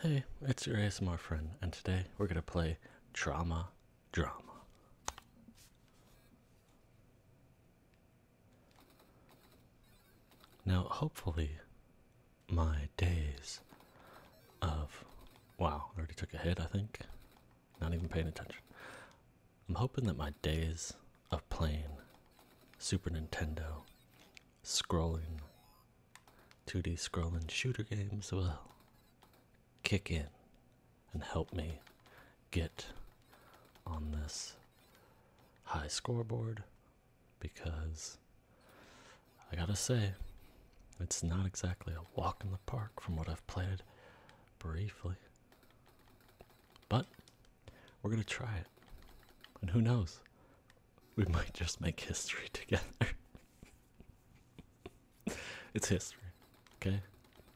Hey, it's your ASMR friend, and today we're gonna play Trauma Drama. Now, hopefully, my days of. Wow, I already took a hit, I think. Not even paying attention. I'm hoping that my days of playing Super Nintendo scrolling, 2D scrolling shooter games will kick in and help me get on this high scoreboard because I gotta say, it's not exactly a walk in the park from what I've played briefly. But we're gonna try it. And who knows? We might just make history together. it's history, okay?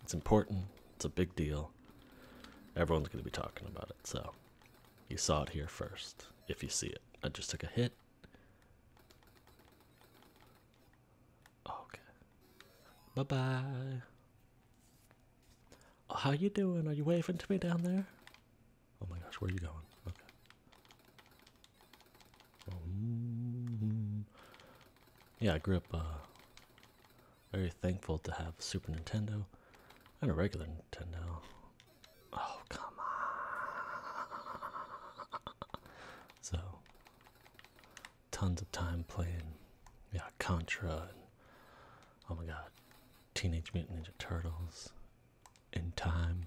It's important, it's a big deal. Everyone's going to be talking about it, so you saw it here first if you see it. I just took a hit. Okay. Bye bye. Oh, how you doing? Are you waving to me down there? Oh my gosh, where are you going? Oh, mm-hmm. yeah, I grew up uh, very thankful to have Super Nintendo and a regular Nintendo. Oh, come on. So, tons of time playing, yeah, Contra and, oh my god, Teenage Mutant Ninja Turtles, in time.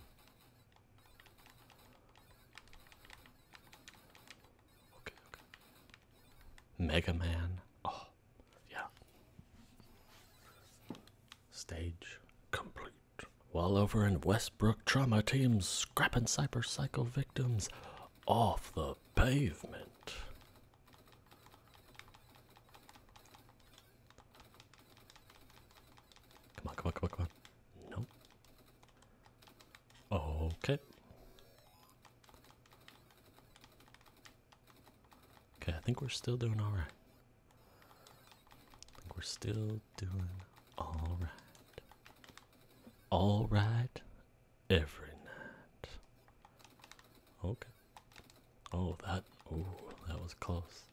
Okay, Mega Man. Oh, yeah. Stage complete. While over in Westbrook, trauma teams scrapping cyber psycho victims off the pavement. Come on, come on, come on, come on. No. Okay. Okay, I think we're still doing all right. I think we're still doing all right. All right every night. Okay. Oh, that. Oh, that was close.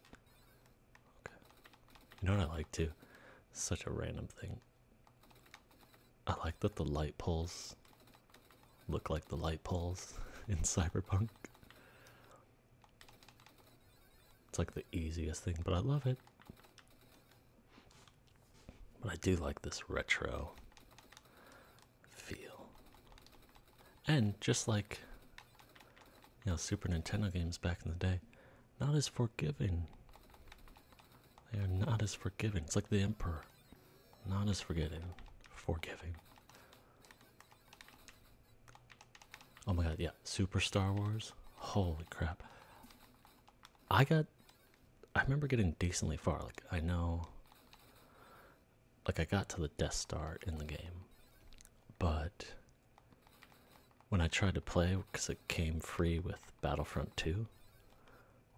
You know what I like too? Such a random thing. I like that the light poles look like the light poles in Cyberpunk. It's like the easiest thing, but I love it. But I do like this retro feel. And just like you know, Super Nintendo games back in the day, not as forgiving. They are not as forgiving. It's like the Emperor. Not as forgiving, Forgiving. Oh my god, yeah. Super Star Wars. Holy crap. I got I remember getting decently far. Like I know like I got to the Death Star in the game. But when I tried to play because it came free with Battlefront 2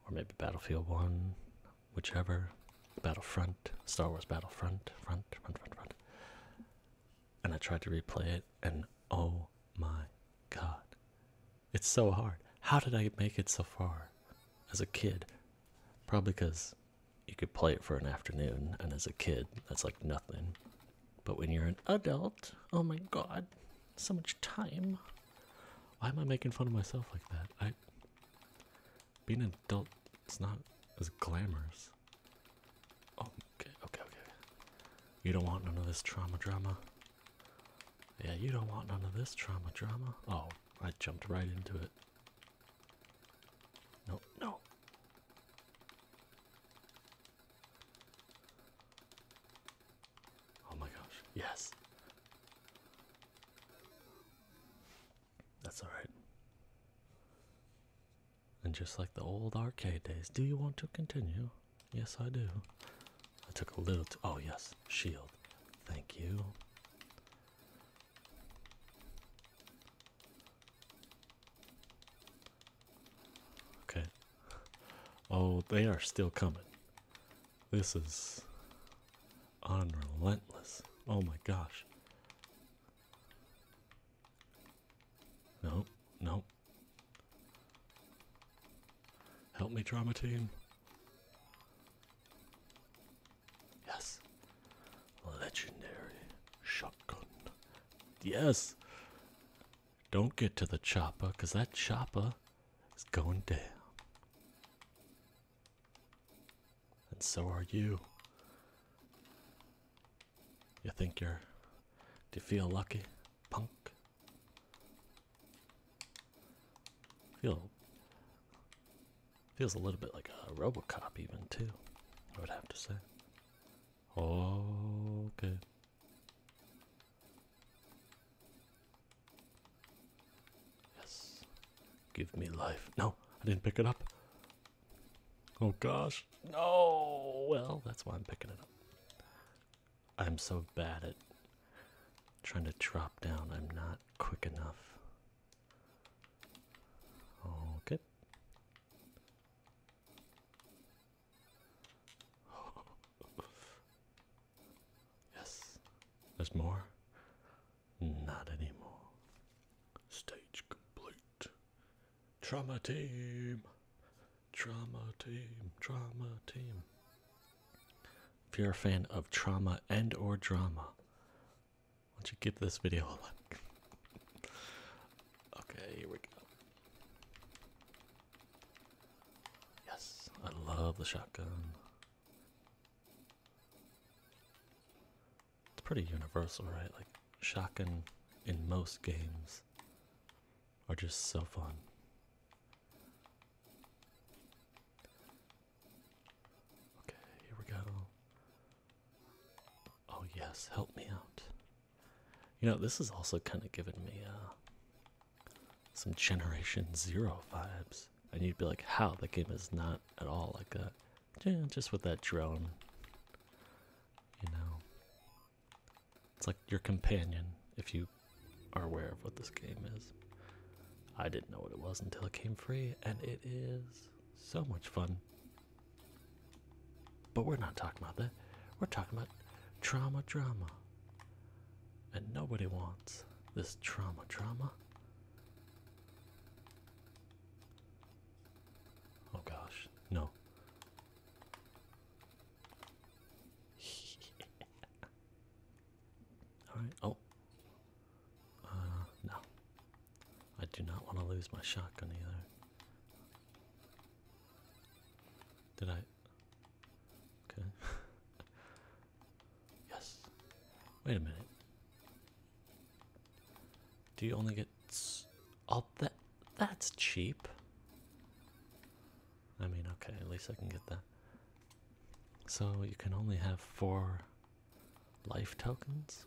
or maybe Battlefield 1, whichever, Battlefront, Star Wars Battlefront, front, front, front, front. And I tried to replay it and oh my god. It's so hard. How did I make it so far as a kid? Probably because you could play it for an afternoon, and as a kid, that's like nothing. But when you're an adult, oh my god, so much time. Why am I making fun of myself like that? I being an adult it's not as glamorous. Oh, okay, okay, okay. You don't want none of this trauma drama. Yeah, you don't want none of this trauma drama. Oh, I jumped right into it. No, no, Oh my gosh, yes. That's alright. And just like the old arcade days, do you want to continue? Yes, I do. I took a little. oh, yes, shield. Thank you. Okay. Oh, they are still coming. This is unrelentless. Oh my gosh. Nope, nope. Help me, trauma team. Yes. Legendary shotgun. Yes! Don't get to the chopper, because that chopper is going down. And so are you. You think you're. Do you feel lucky, punk? Feel. Feels a little bit like a Robocop, even, too, I would have to say. Okay. Yes. Give me life. No, I didn't pick it up. Oh gosh. No. Well, that's why I'm picking it up. I'm so bad at trying to drop down. I'm not quick enough. Okay. yes, there's more. Not anymore. Stage complete. Trauma team. Trauma team. Trauma team. If you're a fan of trauma and or drama, don't you give this video a like. okay, here we go. Yes, I love the shotgun. It's pretty universal, right? Like, shotgun in most games are just so fun. Okay, here we go. Oh, yes, help me out. You know, this is also kind of giving me uh, some Generation Zero vibes. And you'd be like, how? The game is not at all like that. Yeah, just with that drone. You know. It's like your companion, if you are aware of what this game is. I didn't know what it was until it came free, and it is so much fun. But we're not talking about that. We're talking about trauma, drama. And nobody wants this trauma, drama. Oh gosh, no. Alright, oh. Uh, no. I do not want to lose my shotgun either. Did I? Okay. yes. Wait a minute. Do you only get all that? That's cheap. I mean, okay, at least I can get that. So you can only have four life tokens?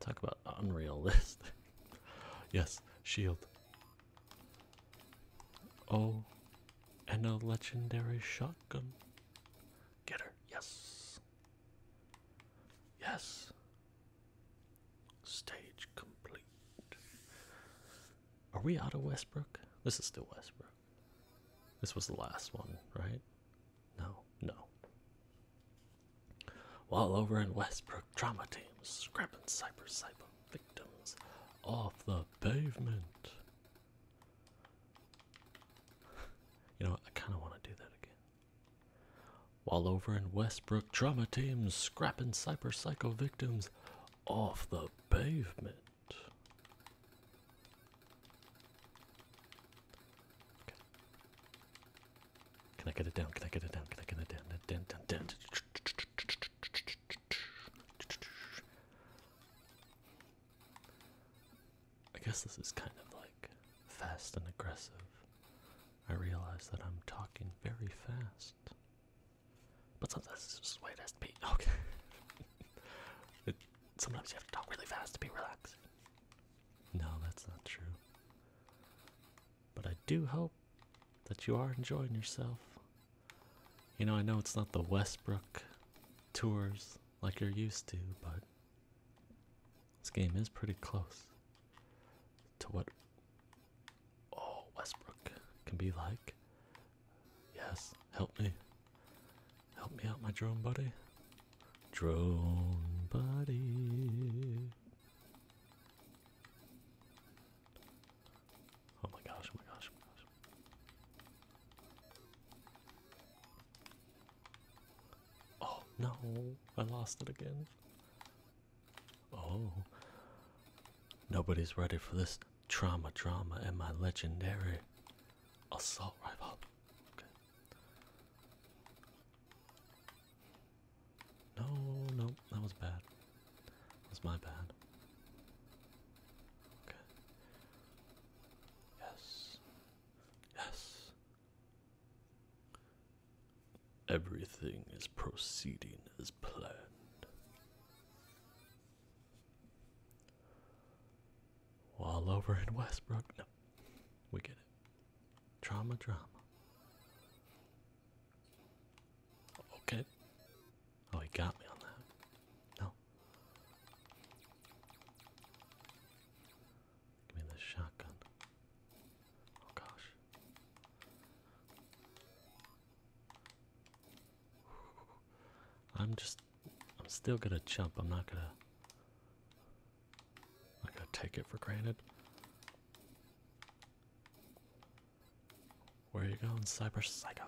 Talk about unrealistic. yes, shield. Oh, and a legendary shotgun. Get her. Yes. Yes. Stage complete. Are we out of Westbrook? This is still Westbrook. This was the last one, right? No, no. While over in Westbrook, trauma teams scrapping cyber cyber victims off the pavement. You know, I kind of want to do that again. While over in Westbrook, trauma teams scrapping cyber psycho victims off the pavement. Okay. Can I get it down? Can I get it down? Can I get it down? Dun, dun, dun, I guess this is kind of like fast and aggressive. I realize that I'm talking very fast. But sometimes this is the way it has to be. Okay. sometimes you have to talk really fast to be relaxed. No, that's not true. But I do hope that you are enjoying yourself. You know, I know it's not the Westbrook tours like you're used to, but this game is pretty close to what oh Westbrook can be like. Yes, help me. Help me out, my drone buddy. Drone buddy. Oh my gosh, oh my gosh, oh my gosh. Oh no, I lost it again. Oh. Nobody's ready for this trauma drama and my legendary assault rifle. No, no, that was bad. That was my bad. Okay. Yes. Yes. Everything is proceeding as planned. All over in Westbrook. No. We get it. Trauma, trauma. Okay. Oh, he got me on that. No. Give me the shotgun. Oh, gosh. I'm just. I'm still gonna jump. I'm not gonna. I Like to take it for granted. Where are you going, Cyber Psycho?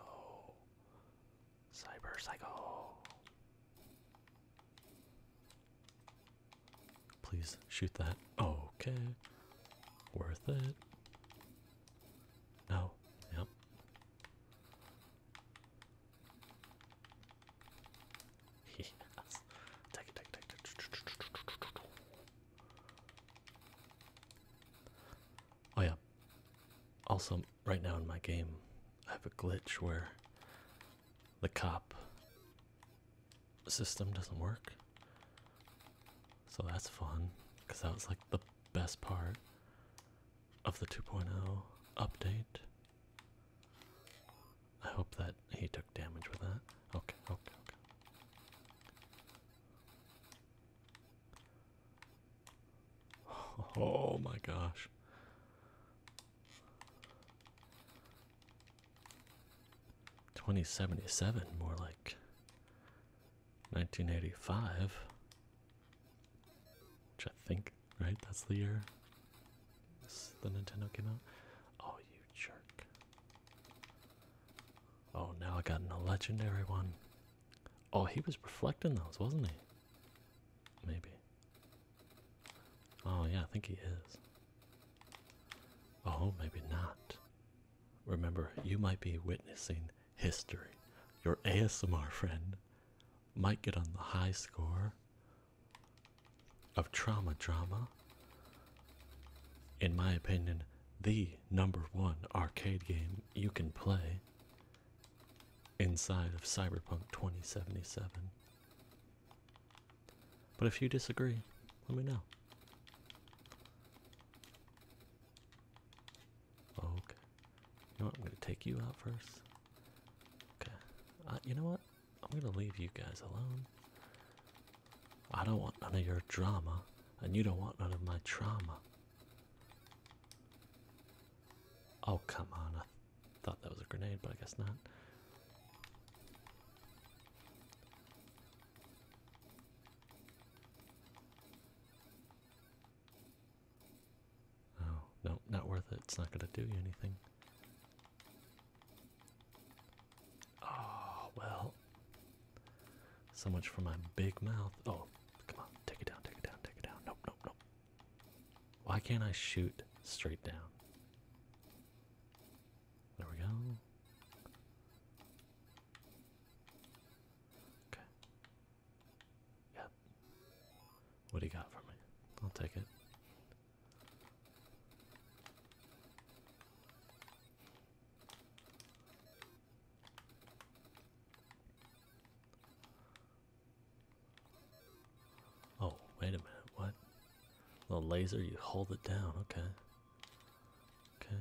Cyber Psycho. Please shoot that. Okay. Worth it. No. Yep. Oh yeah. Also, right now in my game, I have a glitch where the cop system doesn't work. So that's fun, because that was like the best part of the 2.0 update I hope that he took damage with that. Okay, okay, okay. Oh my gosh. Twenty seventy seven, more like nineteen eighty five, which I think right? That's the year the Nintendo came out. Oh, you jerk. Oh, now I got a legendary one. Oh, he was reflecting those, wasn't he? Maybe. Oh, yeah, I think he is. Oh, maybe not. Remember, you might be witnessing history. Your ASMR friend might get on the high score of trauma drama. In my opinion, the number one arcade game you can play inside of Cyberpunk 2077. But if you disagree, let me know. Okay. You know what? I'm going to take you out first. Okay. Uh, you know what? I'm gonna leave you guys alone. I don't want none of your drama, and you don't want none of my trauma. Oh, come on. I thought that was a grenade, but I guess not. Oh, no, not worth it. It's not gonna do you anything. Oh, well. So much for my big mouth. Oh, come on. Take it down, take it down, take it down. Nope, nope, nope. Why can't I shoot straight down? There we go. Okay. Yeah, what do you got for me? I'll take it. Oh, wait a minute, what? The laser, you hold it down, okay. Okay.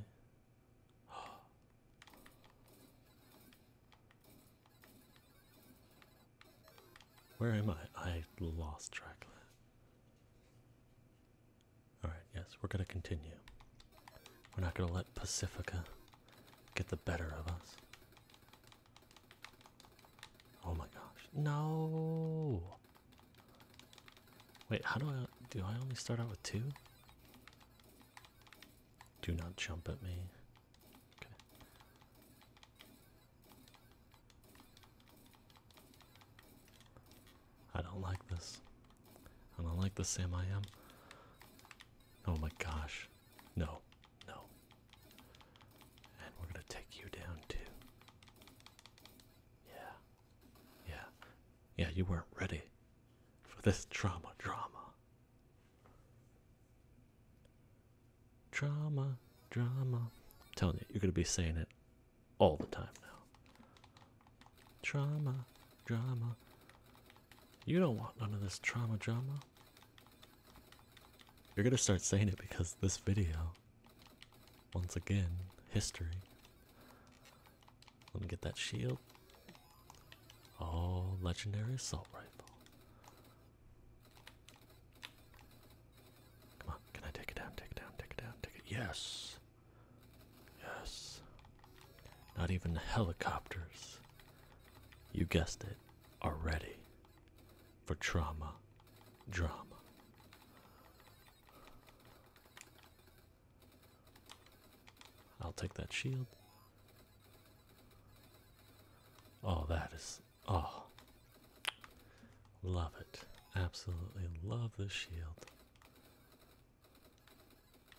Where am I? I lost track. Alright, yes, we're going to continue. We're not going to let Pacifica get the better of us. Oh my gosh. No! Wait, how do I. Do I only start out with two? Do not jump at me. Okay. I don't like this. I don't like the Sam I am. Oh my gosh. No. No. And we're going to take you down too. Yeah. Yeah. Yeah, you weren't ready for this drama, drama. Trauma, drama. I'm telling you, you're going to be saying it all the time now. Trauma, drama. You don't want none of this trauma, drama. You're going to start saying it because this video, once again, history. Let me get that shield. Oh, legendary assault rifle. Come on, can I take it down? Take it down, take it down, take it. Yes! Yes. Not even the helicopters, you guessed it, are ready for trauma, drama. I'll take that shield. Oh, that is Oh, love it. Absolutely love the shield.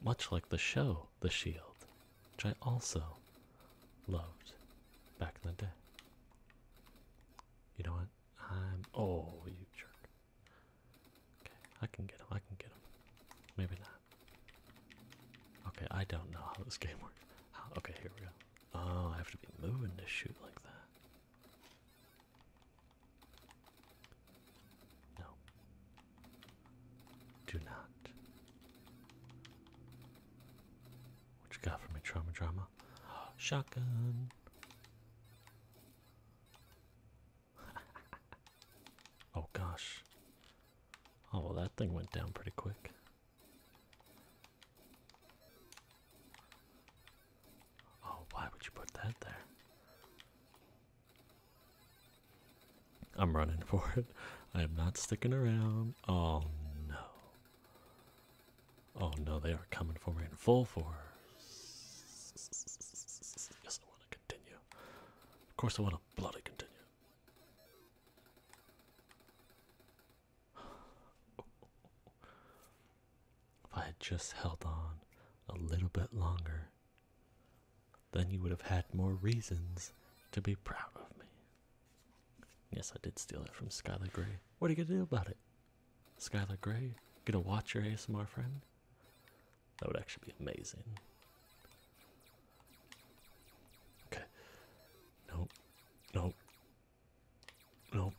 Much like the show, The Shield, which I also loved back in the day. You know what? I'm. Oh, you jerk. Okay, I can get him. I can get him. Maybe not. Okay, I don't know how this game works. okay, here we go. Oh, I have to be moving to shoot like that. No. Do not. What you got for me, trauma drama? Shotgun. oh gosh. Oh well, that thing went down pretty quick. Oh, why would you put that there? I'm running for it. I am not sticking around. Oh no. Oh no, they are coming for me in full force. Yes, I want to continue. Of course, I want to bloody continue if I had just held on a little bit longer, then you would have had more reasons to be proud of me. Yes, I did steal it from Skylar Gray. What are you gonna do about it? Skylar Gray, gonna watch your ASMR friend? That would actually be amazing. Okay. Nope. Nope. No.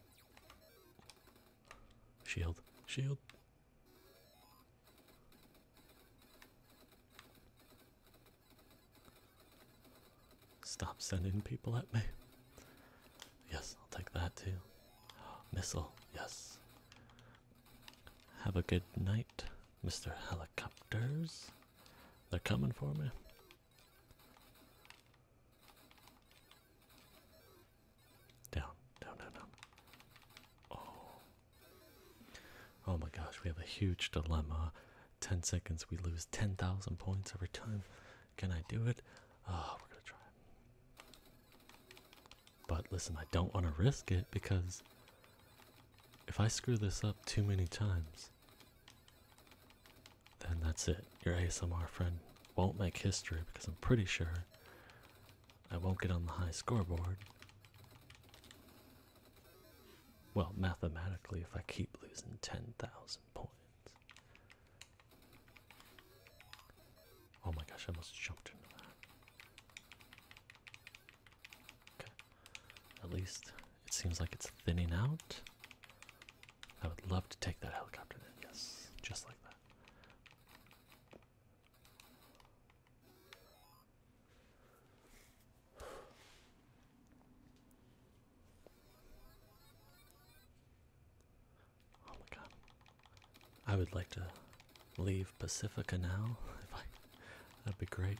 Shield. Shield. Stop sending people at me. Yes, I'll take that too. Missile, yes. Have a good night, Mr. Helicopters. They're coming for me. Down, down, down, down. Oh. Oh my gosh, we have a huge dilemma. 10 seconds, we lose 10,000 points every time. Can I do it? Oh, we're gonna try. But listen, I don't want to risk it because if I screw this up too many times, then that's it. Your ASMR friend won't make history because I'm pretty sure I won't get on the high scoreboard. Well, mathematically, if I keep losing 10,000 points. Oh my gosh, I must have jumped into that. Okay. At least it seems like it's thinning out. I would love to take that helicopter then, yes, just like that. Oh my god. I would like to leave Pacifica now if I that'd be great.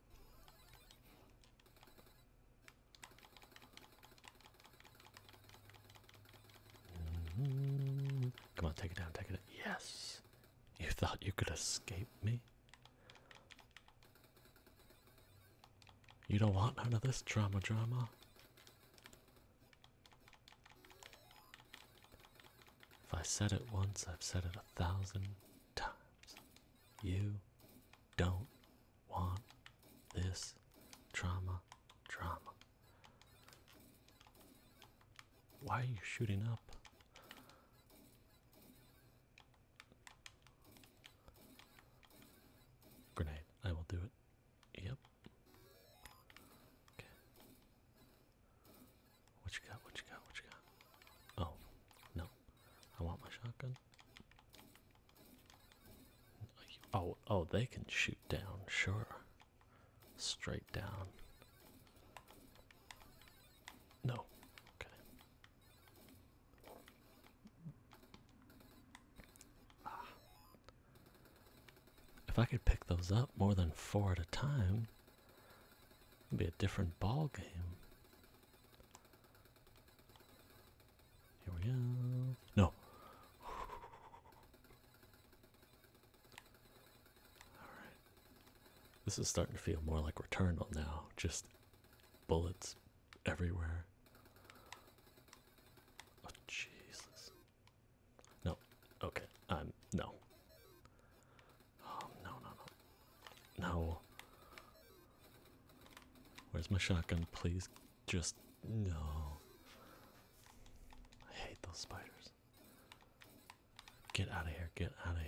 Mm-hmm. Come on, take it down, take it down. Yes! You thought you could escape me? You don't want none of this drama drama. If I said it once, I've said it a thousand times. You don't want this trauma, trauma. Why are you shooting up? Grenade, I will do it. Yep. Okay. What you got? What you got? What you got? Oh, no. I want my shotgun. Oh, oh, they can shoot down, sure. Straight down. No. Okay. Ah. If I could pick those up more than four at a time, it'd be a different ball game. Here we go. No. Alright. This is starting to feel more like Returnal now. Just bullets everywhere. Oh, Jesus. No. Okay. Um, no. Oh, no, no, no. No. Where's my shotgun? Please just. No. I hate those spiders. Get out of here. Get out of here.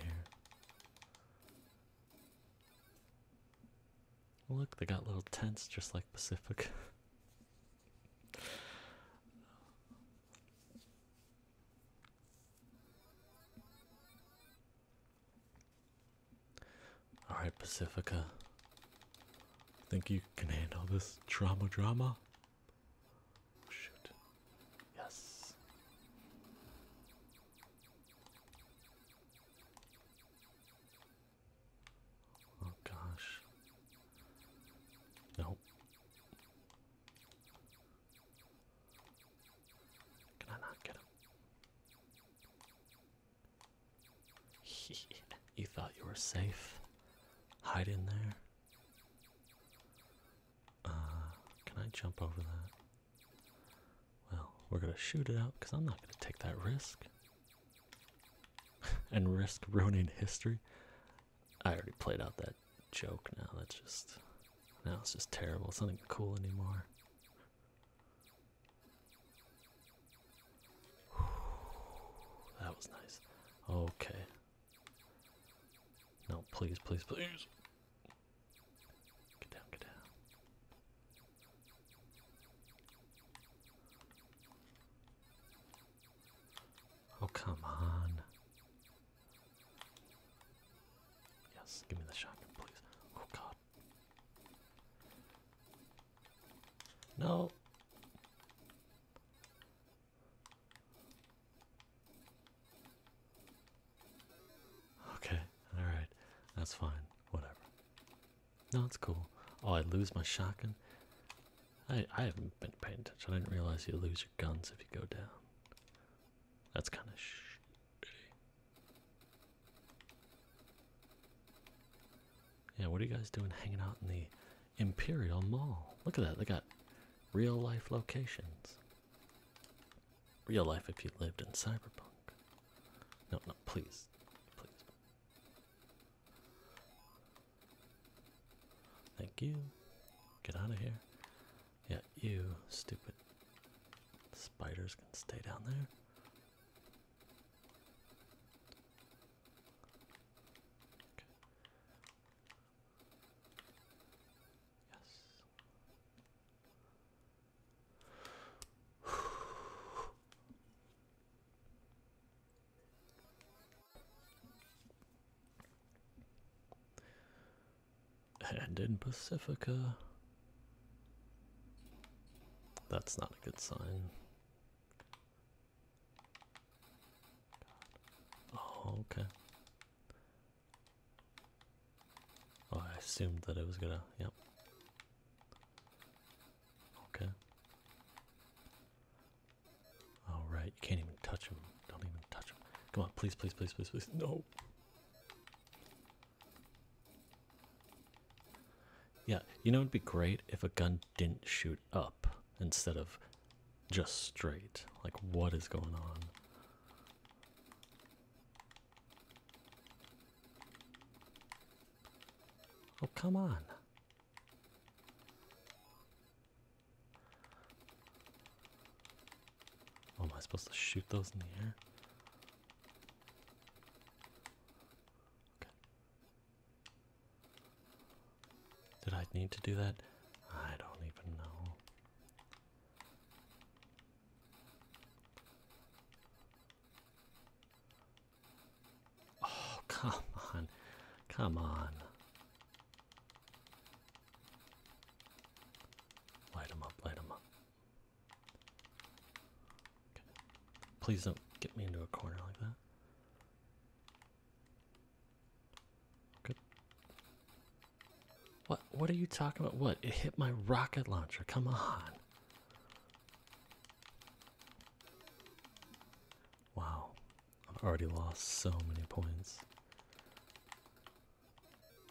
Look, they got little tents just like Pacific. Alright, Pacifica. Think you can handle this drama, drama? Oh, shoot. Yes. Oh gosh. Nope. Can I not get him? you thought you were safe? Hide in there? Uh, can I jump over that? Well, we're gonna shoot it out because I'm not gonna take that risk. and risk ruining history. I already played out that joke now. That's just. Now it's just terrible. It's not cool anymore. That was nice. Okay. No, please, please, please. Get down, get down. Oh, come on. Yes, give me the shotgun, please. Oh, God. No. Okay, alright. That's fine. Whatever. No, it's cool. Oh, I lose my shotgun. I I haven't been paying attention. I didn't realize you lose your guns if you go down. That's kind of shitty. Yeah, what are you guys doing hanging out in the Imperial Mall? Look at that, they got real life locations. Real life if you lived in Cyberpunk. No, no, please. Please. Thank you. Get out of here. Yeah, you stupid Spiders can stay down there. Yes. And in Pacifica. That's not a good sign. Oh, okay. Oh, I assumed that it was gonna, yep. Okay. Alright, you can't even touch him. Don't even touch him. Come on, please, please, please, please, please. No. Yeah, you know it'd be great if a gun didn't shoot up instead of just straight. Like what is going on? Oh, come on. Oh, am I supposed to shoot those in the air? Did I need to do that? I don't even know. Oh, come on. Come on. Light him up, light him up. Please don't get me into a corner like that. Good. What what are you talking about? What? It hit my rocket launcher. Come on. Wow. I've already lost so many points.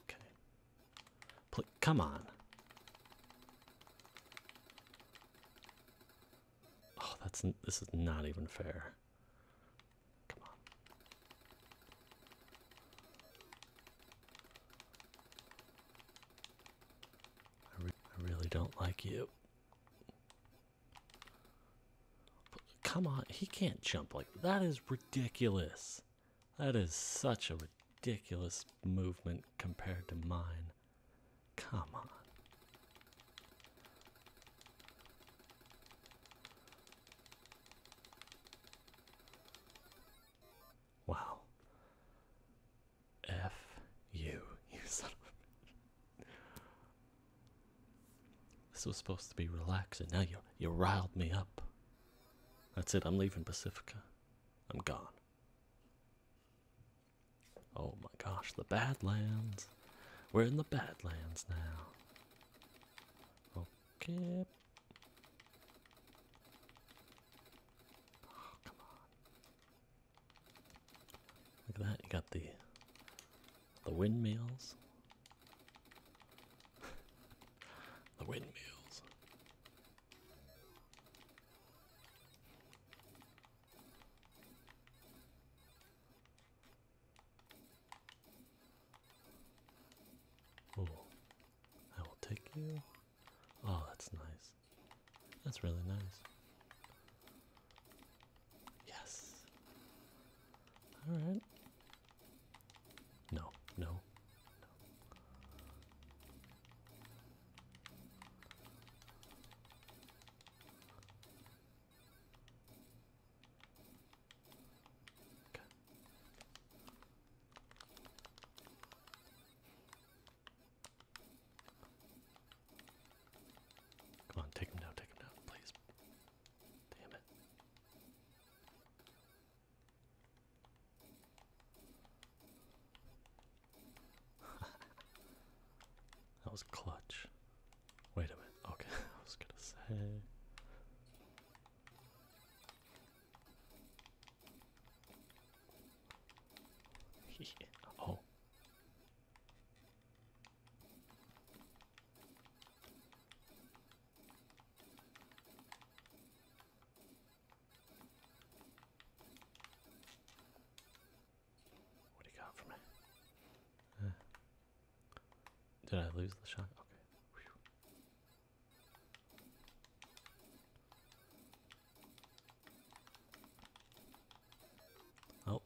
Okay come on. Oh, that's this is not even fair. Come on. I really don't like you. Come on, he can't jump like that is ridiculous. That is such a ridiculous movement compared to mine. Come on. Wow. F you, you son of a This was supposed to be relaxing. Now you you riled me up. That's it, I'm leaving Pacifica. I'm gone. Oh my gosh, the Badlands. We're in the Badlands now. Okay. Oh, come on. Look at that, you got the the windmills. the windmills. Oh, I will take you. Oh, that's nice. That's really nice. Yes. All right. No, no, Okay. Come on, take him down, take him down, please. Damn it. that was clutch. Wait a minute. Okay, I was gonna say. Oh. What do you got from me? did I lose the shot? Okay. Oh.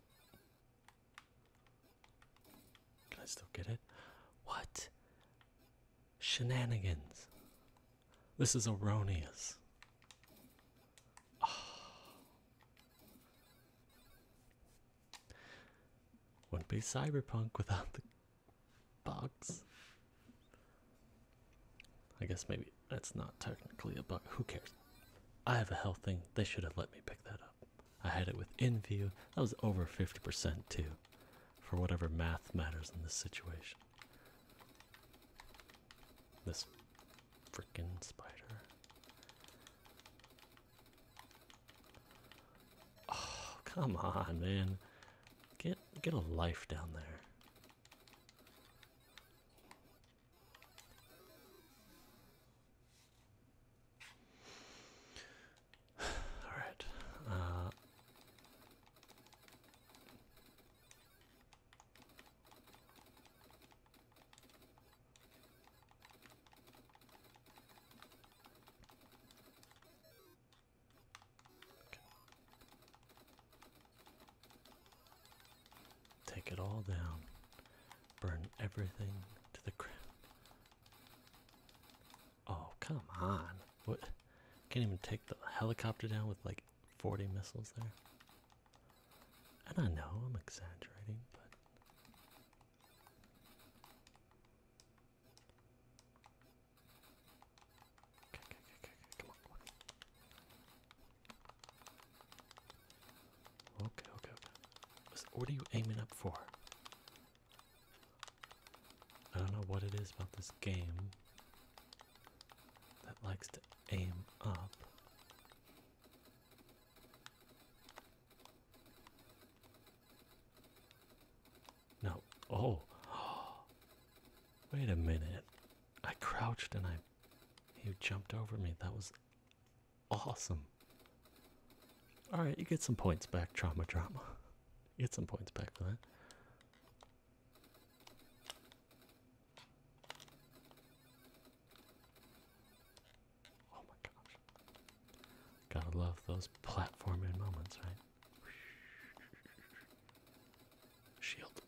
Can I still get it? What? Shenanigans. This is erroneous. Ah. Wouldn't be cyberpunk without the box. I guess maybe that's not technically a bug. Who cares? I have a health thing. They should have let me pick that up. I had it within view. That was over 50% too, for whatever math matters in this situation. This freaking spider. Oh, come on, man. Get get a life down there. All right. Uh, Take it all down, burn everything to the ground. Oh, come on. What? Can't even take the helicopter down with like 40 missiles there. I don't know I'm exaggerating, but. Okay, okay, okay, Come on, come on. Okay, okay, okay. What are you aiming up for? I don't know what it is about this game that likes to aim up. No. Oh. Wait a minute. I crouched and I you jumped over me. That was awesome. All right, you get some points back, trauma drama. get some points back for that. Oh my gosh. Gotta love those platforming moments, right? Shield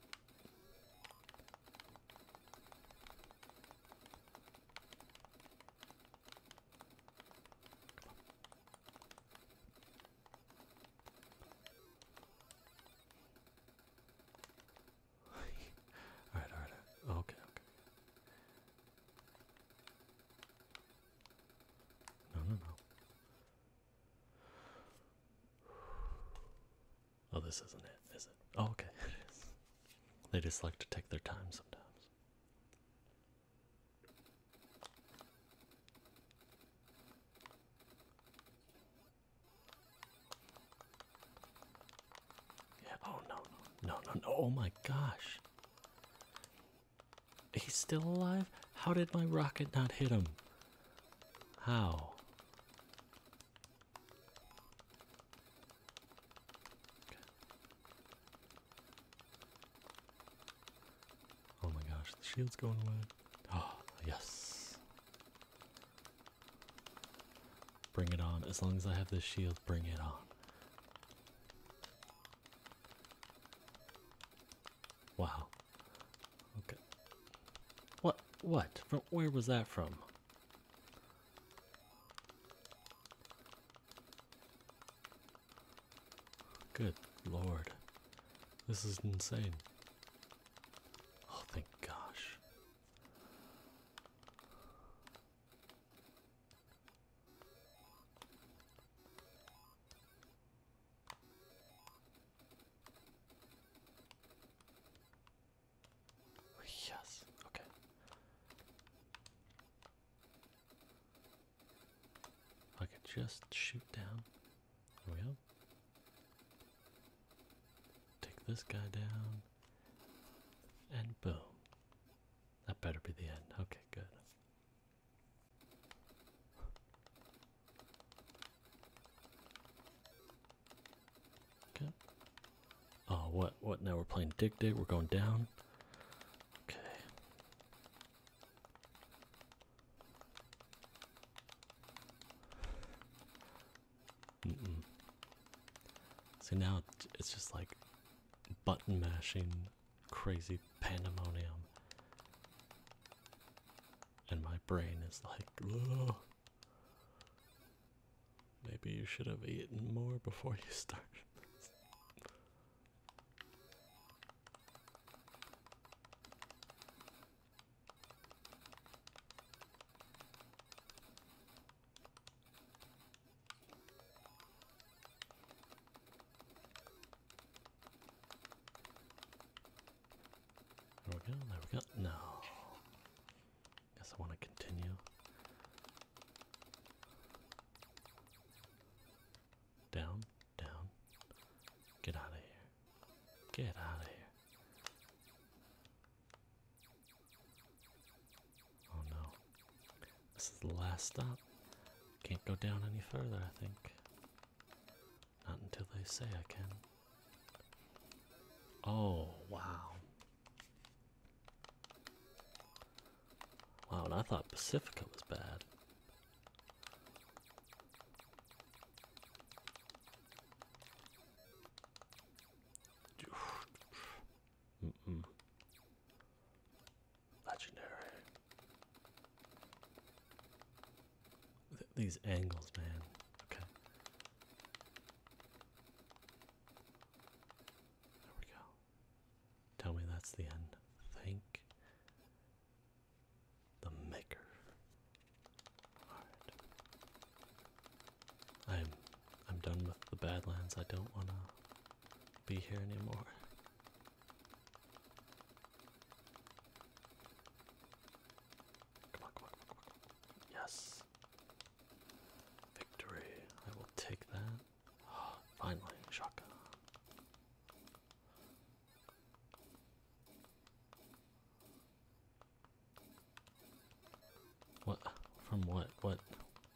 all right, all right, oh, Okay, okay. No, no, no. Oh, this isn't it, is it? Oh, okay, They just like to take their time sometimes. Yeah, oh no, no, no, no, oh my gosh. He's still alive? How did my rocket not hit him? How? Oh my gosh, the shield's going away. Ah, oh, yes. Bring it on. As long as I have this shield, bring it on. Wow. Okay. What? What? where was that from? Good lord. This is insane. Oh, thank gosh. Yes, okay. I could just shoot down. There we go. Take this guy down. And boom. That better be the end. Okay, good. Okay. Oh, what? What? Now we're playing Dick Dick. We're going down. Okay. Mm -mm. So now it's just like button mashing, crazy pandemonium. And my brain is like, Ugh. maybe you should have eaten more before you started. There we go, there we go. No. Guess I want to continue. Down. Down. Get out of here. Get out of here. Oh no. This is the last stop. Can't go down any further, I think. Not until they say I can. Oh, wow. Wow, and I thought Pacifica was bad. Legendary. these angles, man. Okay. There we go. Tell me that's the end. Think the maker. Alright. I'm I'm done with the Badlands. I don't wanna be here anymore. Come on, come on, come on, Yes. Victory. I will take that. finally, shotgun. What? From what? What?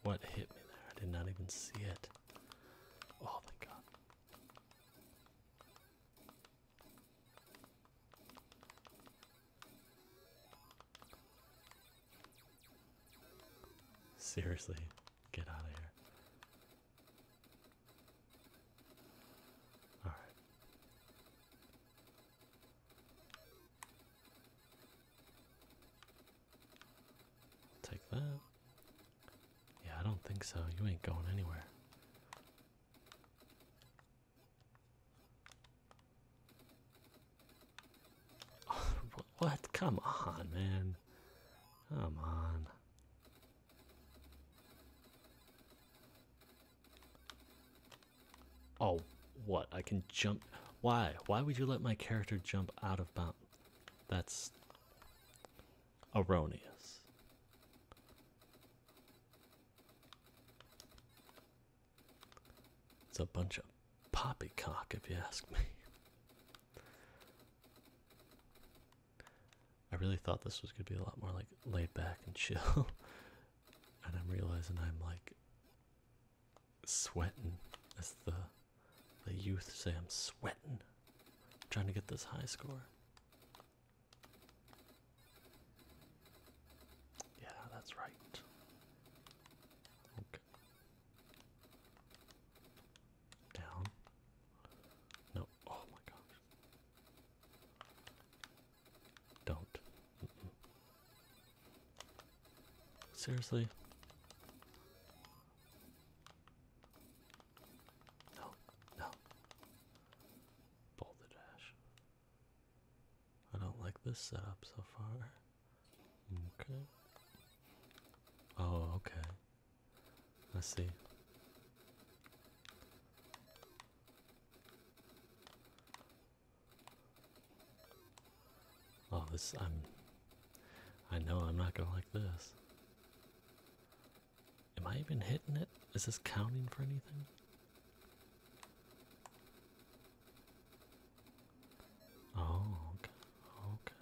What hit me there? I did not even see it. Oh, thank God. Seriously, get out of here. All take that. Yeah, I don't think so. You ain't going anywhere. what? Come on, man. Come on. Oh, what? I can jump. Why? Why would you let my character jump out of bounds? That's erroneous. It's a bunch of poppycock, if you ask me. I really thought this was gonna be a lot more like laid back and chill, and I'm realizing I'm like sweating, as the the youth say. I'm sweating, trying to get this high score. Yeah, that's right. Okay. Down. No. Oh my god. Don't. Seriously? No, no. Boulder Dash. I don't like this setup so far. Okay. Oh, okay. Let's see. Oh, this, I'm, I know I'm not gonna like this. Am I even hitting it? Is this counting for anything? Oh, okay.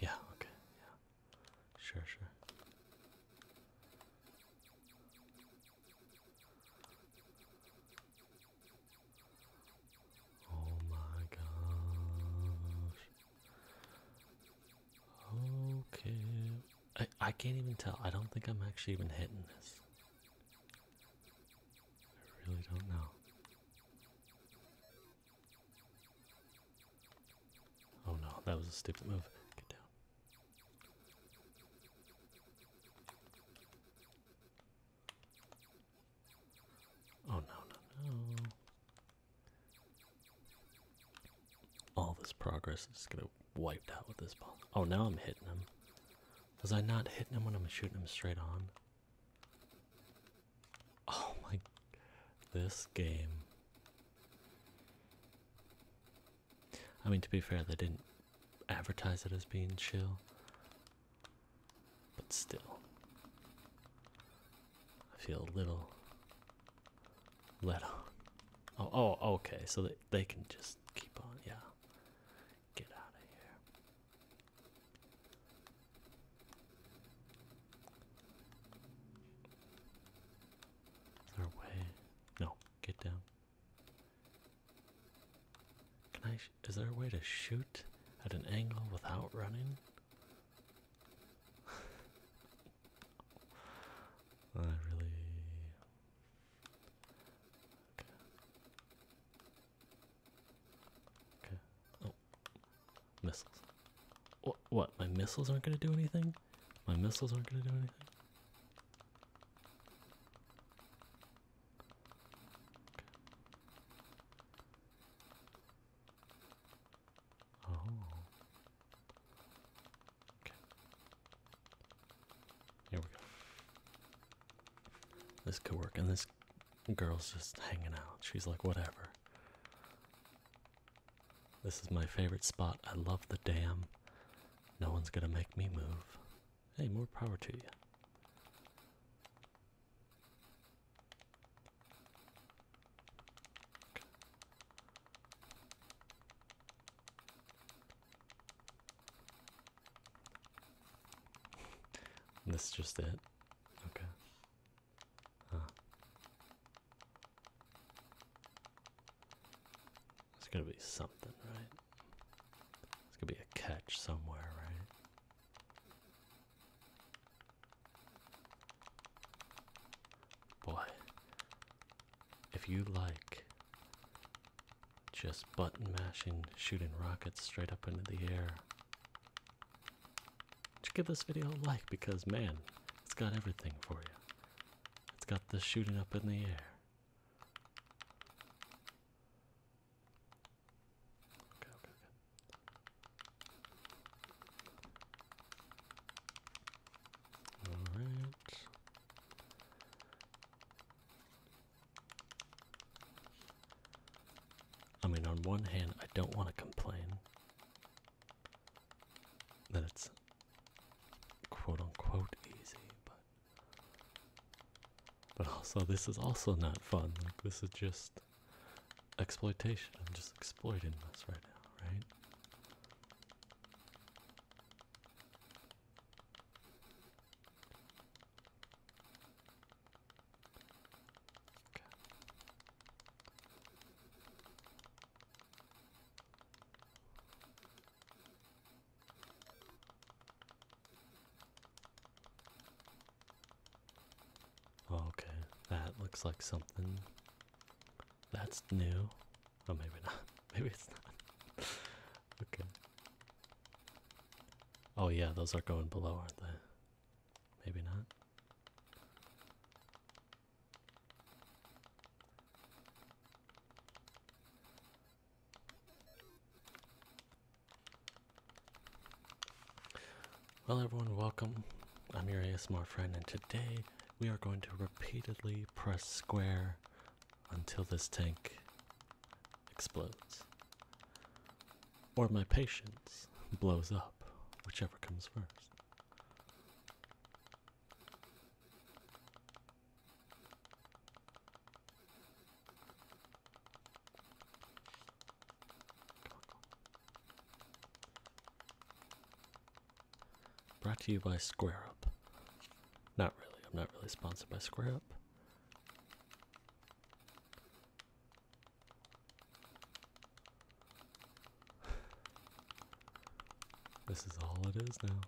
Yeah, okay, yeah. Sure, sure. Oh my gosh. Okay. I I can't even tell. I don't think I'm actually even hitting this. I really don't know. Oh no, that was a stupid move. Get down. Oh no, no, no. All this progress is gonna wiped out with this ball. Oh, now I'm hitting him. Was I not hitting him when I'm shooting him straight on? Oh my, this game. I mean, to be fair, they didn't advertise it as being chill, but still, I feel a little let on. Oh, oh okay, so they, they can just keep on, yeah. Get out of here. Our way. No, get down. Can I? Is there a way to shoot at an angle without running? I really. Okay. Okay. Oh, Missiles. What? My missiles aren't gonna do anything. My missiles aren't gonna do anything. Oh. Okay. Here we go. This could work, and this girl's just hanging out. She's like, whatever. This is my favorite spot. I love the dam. No one's gonna make me move. Hey, more power to you. This is just it. Okay. It's gonna be something, right? It's gonna be a catch somewhere, right? Boy, if you like just button mashing, shooting rockets straight up into the air, just give this video a like because man, it's got everything for you. It's got the shooting up in the air. Okay, okay, okay. All right. I mean, on one hand, I don't want to complain that it's quote unquote easy, but but also this is also not fun. Like this is just exploitation. i just exploiting us right now, right? Okay. Okay, that looks like something that's new. Oh, maybe not. Maybe it's not. okay. Oh, yeah, those are going below, aren't they? Maybe not. Well, everyone, welcome. I'm your ASMR friend, and today we are going to repeatedly press square until this tank explodes or my patience blows up, whichever comes first. Brought to you by Square Up. Not really, I'm not really sponsored by Square Up. This is all it is now.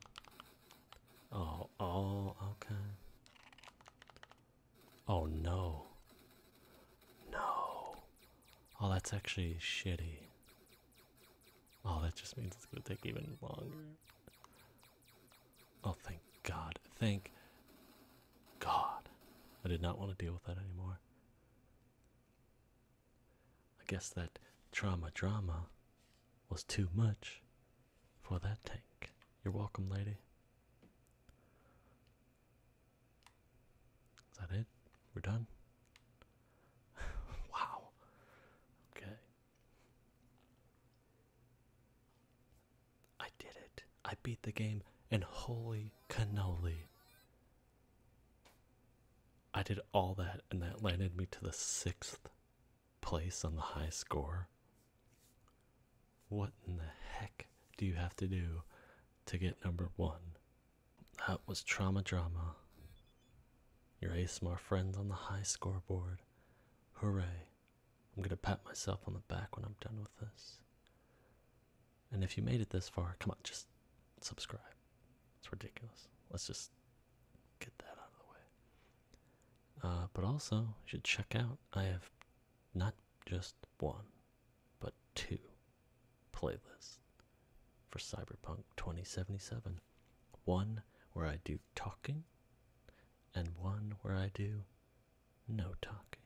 Oh, oh, okay. Oh no. No. Oh, that's actually shitty. Oh, that just means it's gonna take even longer. Oh, thank God. Thank God. I did not want to deal with that anymore. I guess that trauma drama was too much for that tank. You're welcome, lady. Is that it? We're done? wow. Okay. I did it. I beat the game, and holy cannoli. I did all that, and that landed me to the sixth place on the high score. What in the heck do you have to do to get number one? That was Trauma Drama. Your ASMR friends on the high scoreboard. Hooray. I'm going to pat myself on the back when I'm done with this. And if you made it this far, come on, just subscribe. It's ridiculous. Let's just get that out of the way. Uh, but also, you should check out, I have not just one, but two playlists for Cyberpunk 2077. One where I do talking, and one where I do no talking.